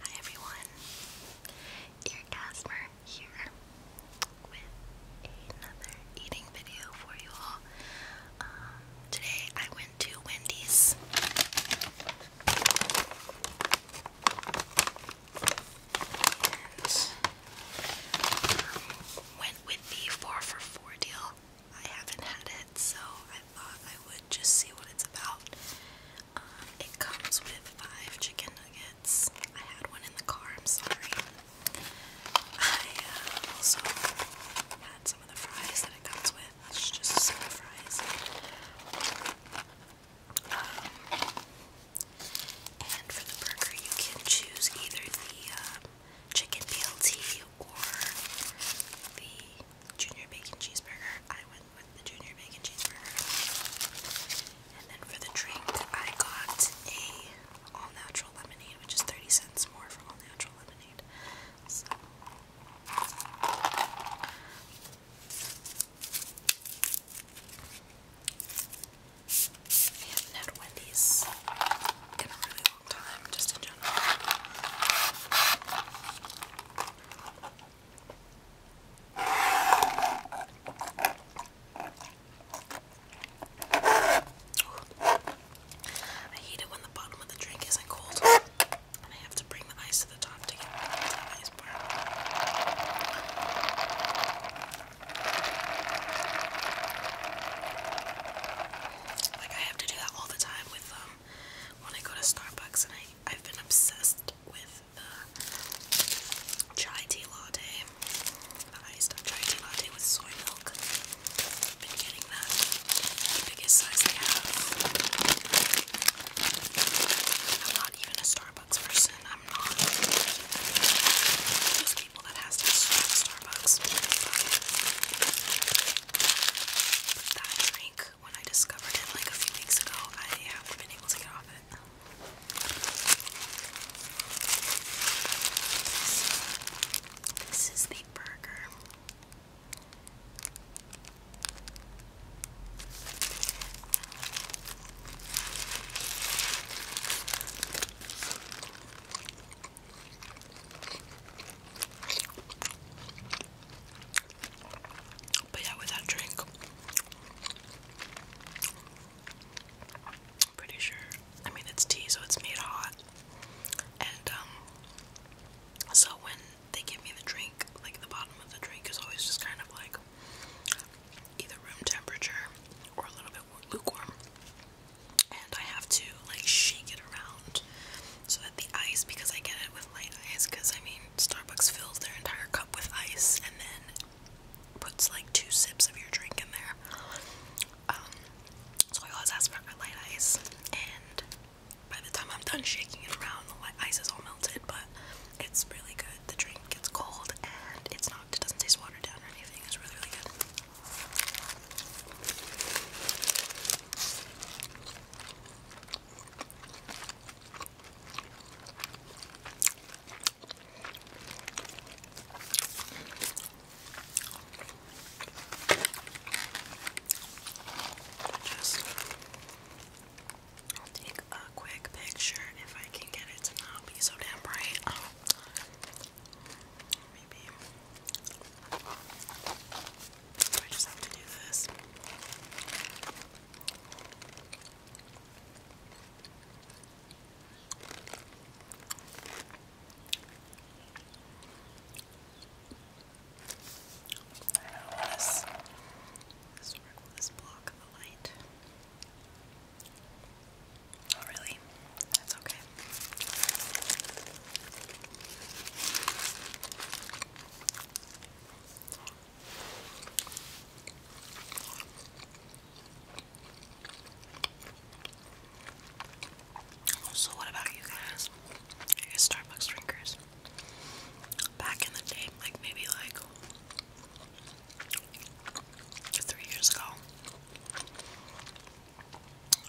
Hi everyone, Eargasmer here with another eating video for you all. Um, today I went to Wendy's. Um, went with the 4 for 4 deal. I haven't had it, so I would just see what it's about. Um, it comes with five chicken nuggets. I had one in the car, I'm sorry. I uh, also had some of the fries that it comes with. It's just some fries. Um, and for the burger, you can choose either the uh, chicken BLT or the junior bacon cheeseburger, I went with the junior bacon cheeseburger. And then for the drink, I got a all natural lemonade, which is 30 cents more for all natural lemonade. I haven't had Wendy's in a really long time, just in I hate it when the bottom of the drink isn't cold, and I have to bring the ice to the top to get to the ice bar. Like I have to do that all the time with um when I go to Starbucks, and I, I've been obsessed with the chai tea latte, the iced chai tea latte with soy milk. i been getting the biggest size they have. I'm not even a Starbucks person, I'm not. Those people that has to stop Starbucks that drink, when I discovered it like a few weeks ago, I haven't been able to get off it. This is the burger. But yeah, with that drink, I'm pretty sure. I mean, it's tea, so it's made hot. And, um, so when they give me the drink, like the bottom of the drink is always just kind of like either room temperature or a little bit lukewarm and I have to like shake it around so that the ice, because I get it with light ice, because I mean, Starbucks fills their entire cup with ice and then puts like two sips of your drink in there. Um, so I always ask for light ice, and by the time I'm done shaking it around, the ice is all melted, but it's really good. The drink gets cold and it's not, it doesn't taste watered down or anything. It's really, really good. Just i take a quick picture if I can get it not be so damn bright. I just have to do this. I this, this work this block the light. Oh really? That's okay. So, what about you guys? You Starbucks drinkers? Back in the day, like maybe like three years ago,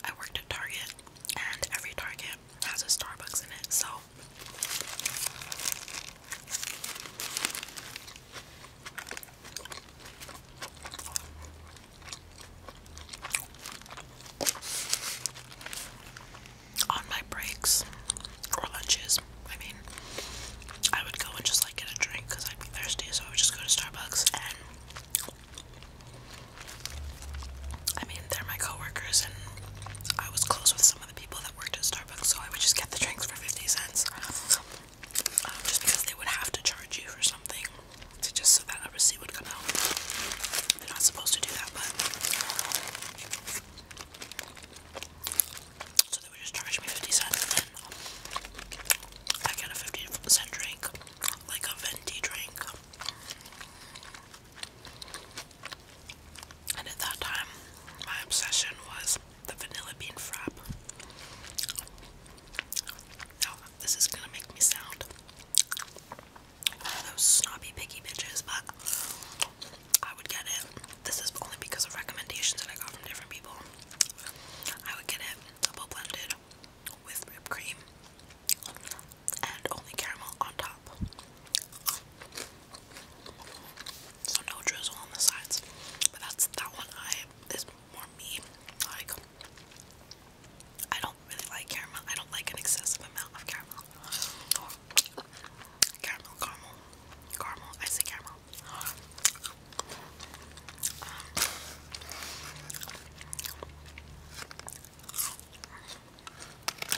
I worked at Target, and every Target has a Starbucks in it, so on my breaks or lunches, I mean, I would go and just like get a drink because I'd be thirsty, so I would just go to Starbucks and I mean, they're my coworkers, and I was close with some of the people that worked at Starbucks, so I would just get the drinks for 50 cents. Um, just because they would have to charge you for something, just so that a receipt would come out. They're not supposed to do that, but. So they would just charge me 50 cents, and I get a 50 cent drink like a venti drink. And at that time, my obsession was the vanilla bean frap. Now, this is gonna make me sound those snobby picky bitches, but I would get it. This is only because of recommendations that I got from different people. I would get it double blended with whipped cream and only caramel on top. So no drizzle on the sides. But that's that one I is more me. Like I don't really like caramel. I don't like an excessive amount of caramel. caramel, caramel, caramel. I say caramel.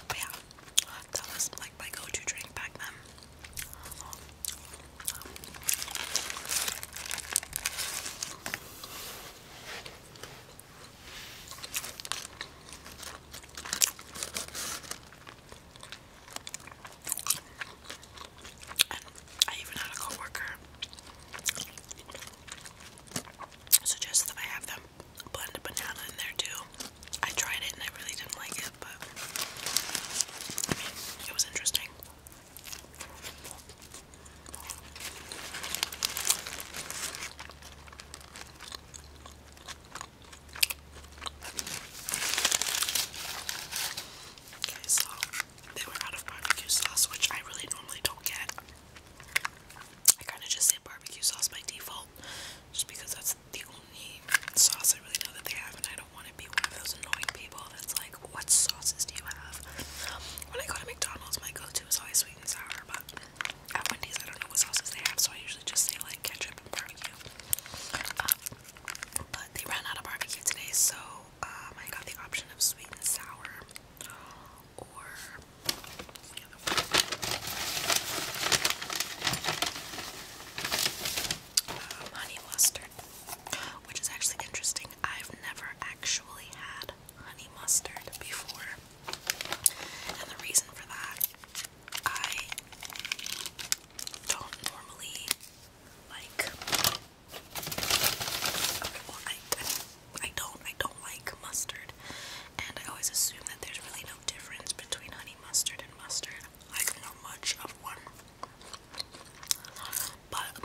But yeah, that was like my go-to drink back then. I even had a coworker suggest that I have them blend a banana in there too. I tried it and I really didn't like it, but I mean, it was interesting. Okay, so they were out of barbecue sauce, which I really normally don't get. I kind of just say barbecue sauce by default, just because that's the only sauce I really know that they have, and I don't want to be one of those annoying people that's like, what sauces do you have? When I go to McDonald's, my go-to is always sweet and sour, but at Wendy's, I don't know what sauces they have, so I usually just say like ketchup and barbecue. Um, but they ran out of barbecue today, so um, I got the option of sweet and sour or um, honey mustard, which is actually interesting. I've never actually had honey mustard before, and the reason for that, I don't normally like I, don't, I don't like mustard, and I always assume that there's really no difference between honey mustard and mustard. I know much of one, but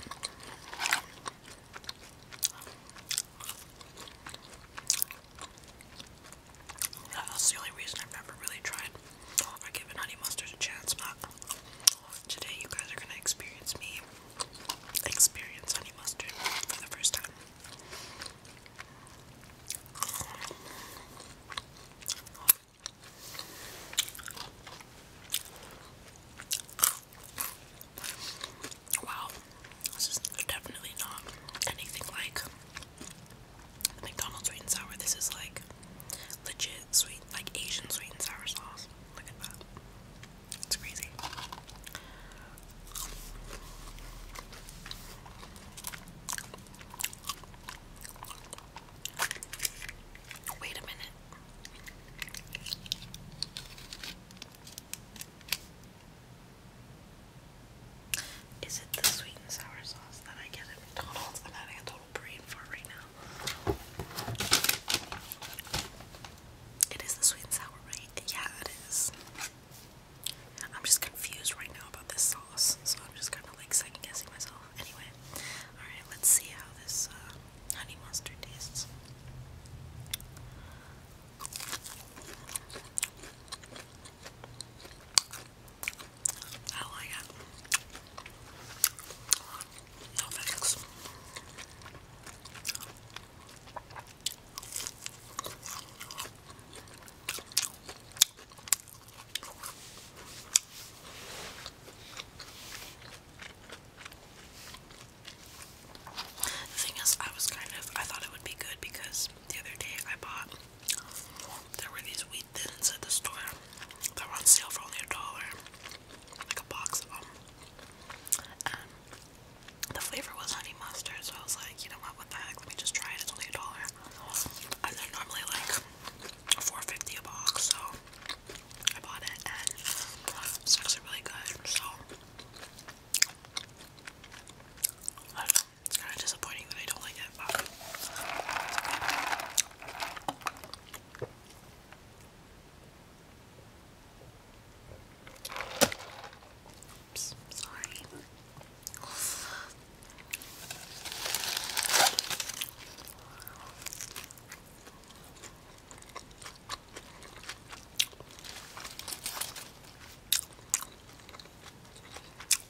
that's the only reason I've never really tried or given honey mustard a chance. But Today you guys are gonna experience me experience honey mustard for the first time. Wow, this is definitely not anything like McDonald's sweet and sour. This is like legit sweet, like Asian sweet and sour sauce. Look at that. It's crazy. Wait a minute. Is it the sweet and sour sauce that I get at McDonald's? brain for right now. It is the sweet and sour, right? Yeah, it is. I'm just confused right now about this sauce, so I'm just kind of like second guessing myself. Anyway, alright, let's see how this uh, honey mustard tastes. I like it. No thanks. The thing is, I was kind of, I thought it would be good because the other day I bought, there were these baked were on sale for only a dollar, like a box of them. And the flavor was honey mustard, so I was like, you know what, what the Let me just try it. It's only a dollar, and they're normally like four fifty a box. So I bought it, and it's actually really good. So. It's kind of disappointing that I don't like it, but Oops, sorry.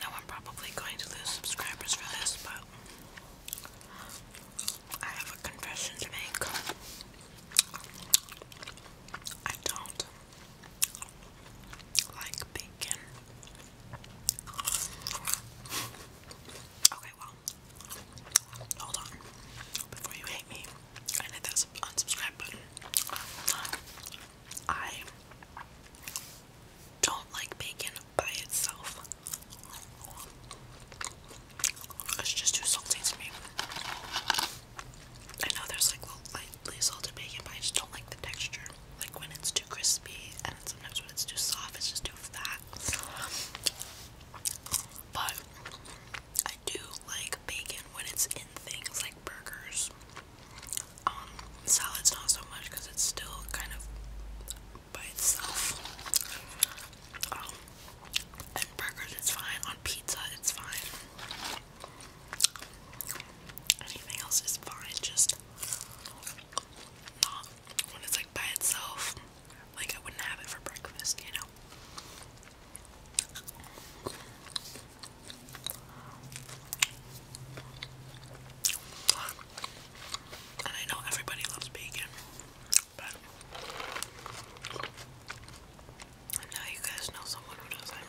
Now I'm probably going to lose subscribers for this, but I have a confession to make. I don't like bacon. Okay, well, hold on before you hate me and that unsubscribe button. I don't like bacon by itself. It's just too salty to me. I know there's like lightly salted bacon, but I just don't like the texture. Like when it's too crispy, and sometimes when it's too soft, it's just too fat. But do like bacon when it's in things like burgers. Um, salads not so much because it's still kind of by itself. Um, and burgers it's fine. On pizza it's fine. Anything else is fine, just not when it's like by itself. Like I wouldn't have it for breakfast, you know. And I know everybody loves bacon, but now you guys know someone who doesn't.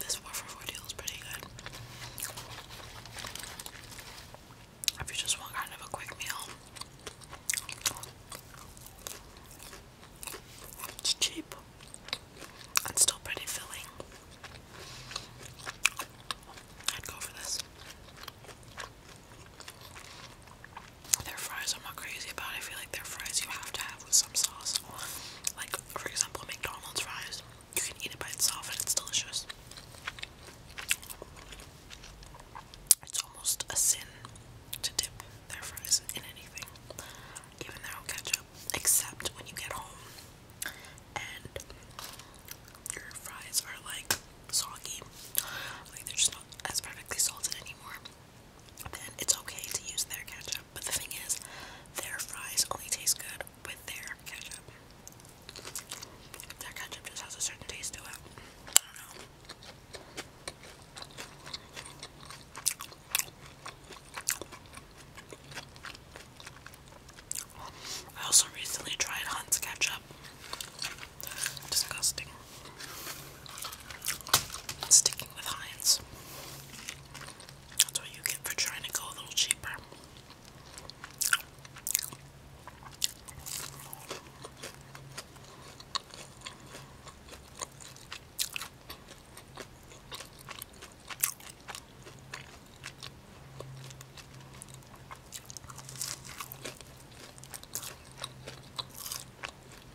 this 4 for 4 deal is pretty good. If you just want kind of a quick meal, it's cheap and still pretty filling. I'd go for this. Their fries, I'm not crazy about. I feel like their fries you have to have with some sauce. Like, for example, McDonald's fries, you can eat it by itself and it's delicious. It's almost a sin to dip their fries in anything, even their ketchup, except when you get home and your fries are like soggy, like they're just not as perfectly salted anymore. Then it's okay to use their ketchup. But the thing is, their fries only taste good with their ketchup. Their ketchup just has a certain taste to it. I also recently tried Hunt's ketchup. Disgusting. Sticking with Heinz. That's what you get for trying to go a little cheaper.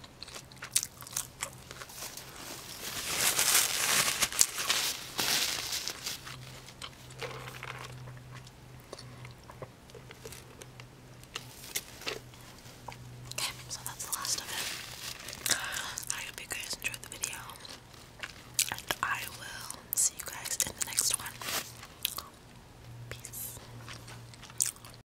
Okay, so that's the last of it. I hope you guys enjoyed the video. And I will see you guys in the next one. Peace.